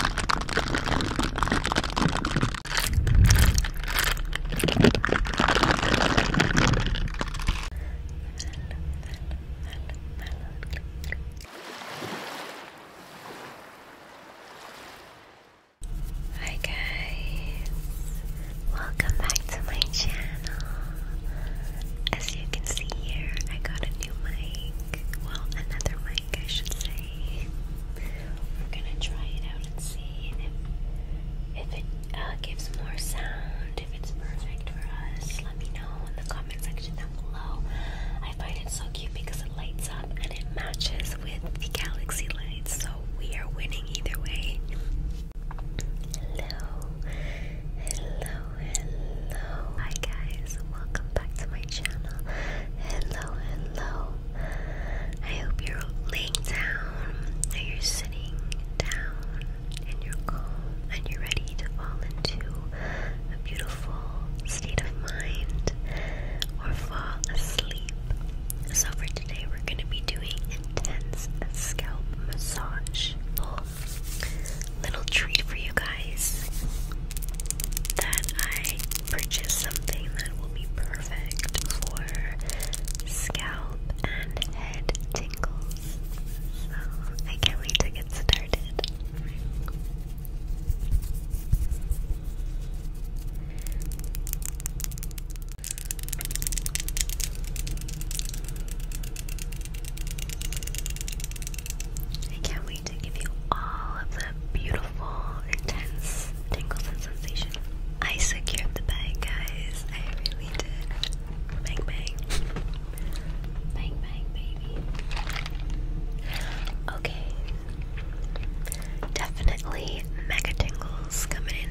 Hi guys, welcome back to my channel. As you can see here, I got a new mic. Well, another mic like, I should say. We're gonna try it out and see if, if it uh, gives more sound, if it's perfect for us. Let me know in the comment section down below. I find it so cute because it lights up and it matches with the galaxy lights, so we are winning either way. Hello, hello, hello. Hi, guys guys, welcome back to my channel. Hello, hello. I hope you're laying down, you're sitting down, and you're calm, and you're ready to fall into a beautiful state of mind or fall asleep. So, for today, we're going to be doing intense scalp massage little treat for you guys that I purchased something that will be perfect for scalp and head tingles. So I can't wait to get started. I can't wait to give you all of the beautiful, intense tingles and sensation. I secured the bag, guys. I really did. Bang, bang. Bang, bang, baby. Okay. Definitely mega tingles coming in.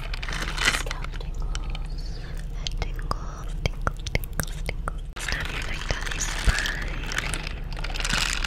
Scalp tingles. Head tingles. Tingles, tingles, tingles. Studying my gummy spine. Tingles,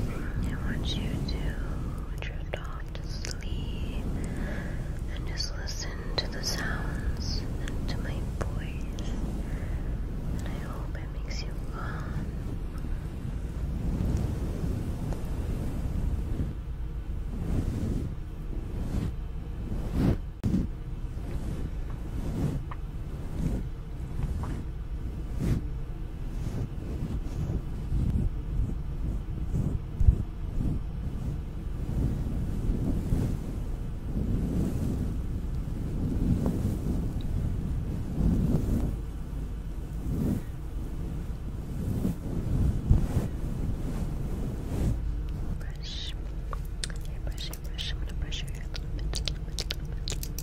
I want you to drift off to sleep and just listen to the sounds and to my voice. And I hope it makes you calm. Now Brush, okay, brush, brush. I'm to brush your hair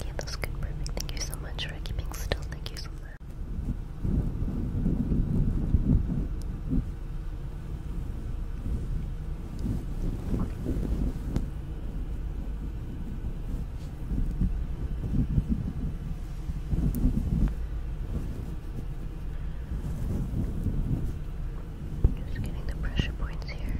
Yeah, that's good, perfect. Thank you so much for keeping still. Thank you so much. Just getting the pressure points here.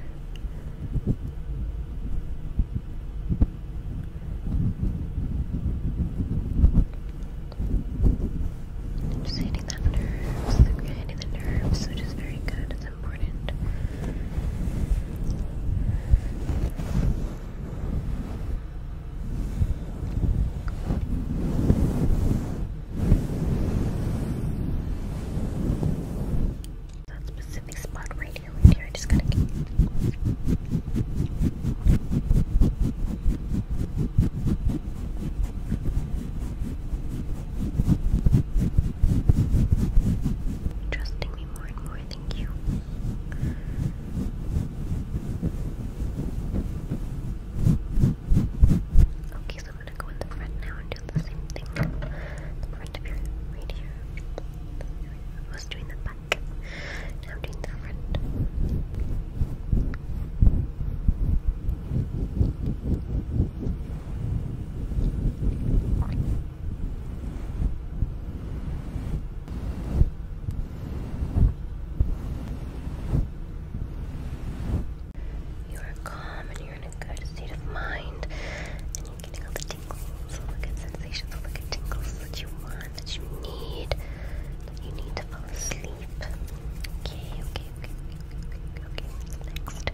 just hitting that nerves, hitting the nerves, which is very good is important. That specific spot right here, just gotta Trusting me Thank you. Okay, so I'm gonna go in the front now and do the same thing. front of your right here. I was doing the back. Now I'm doing the front. You are calm and you're in a good state of mind, and you're getting all the tingles, all the good sensations, all the tingles that you want, that you need, that you need to fall asleep. okay, okay, okay, okay. okay. Next.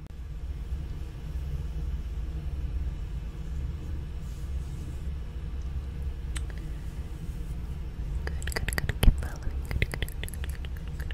Good, good, good. Keep following. Good, good, good, good, good, good, good, good,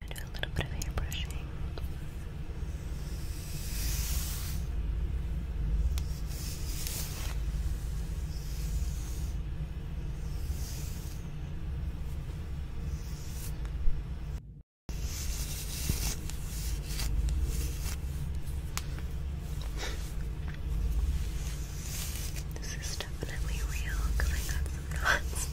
I'm gonna do a little bit of hair This is definitely real because I got some knots.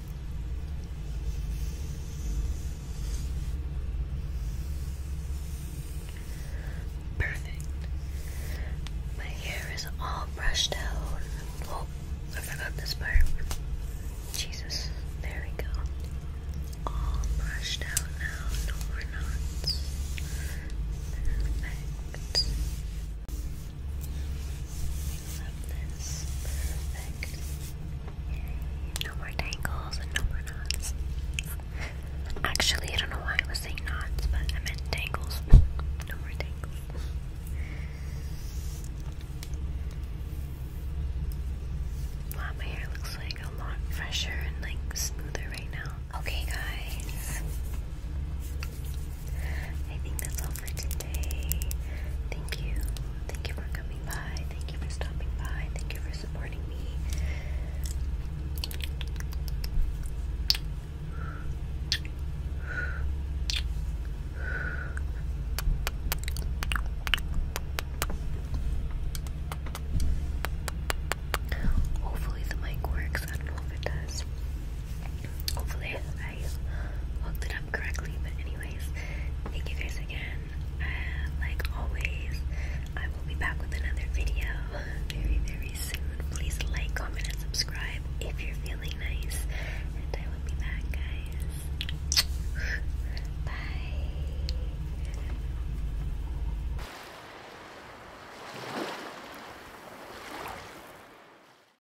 Perfect. My hair is all brushed out. Oh, I forgot this part. Jesus, there we go. All brushed out now, no more knots. Perfect. No more tangles and no more knots. Actually, I don't know why I was saying knots, but I meant tangles. No more tangles. Wow, my hair looks like a lot fresher and like smoother right now. Okay, guys. I think that's all for today. Thank you. Thank you for coming by. Thank you for stopping by. Thank you for supporting me. Hopefully the mic works. I don't know if it does. Hopefully, I hooked it up correctly. But, anyways, thank you guys again. like always, I will be back with another video very, very soon. Please like, comment, and subscribe if you're feeling nice. I will be back, guys. Bye.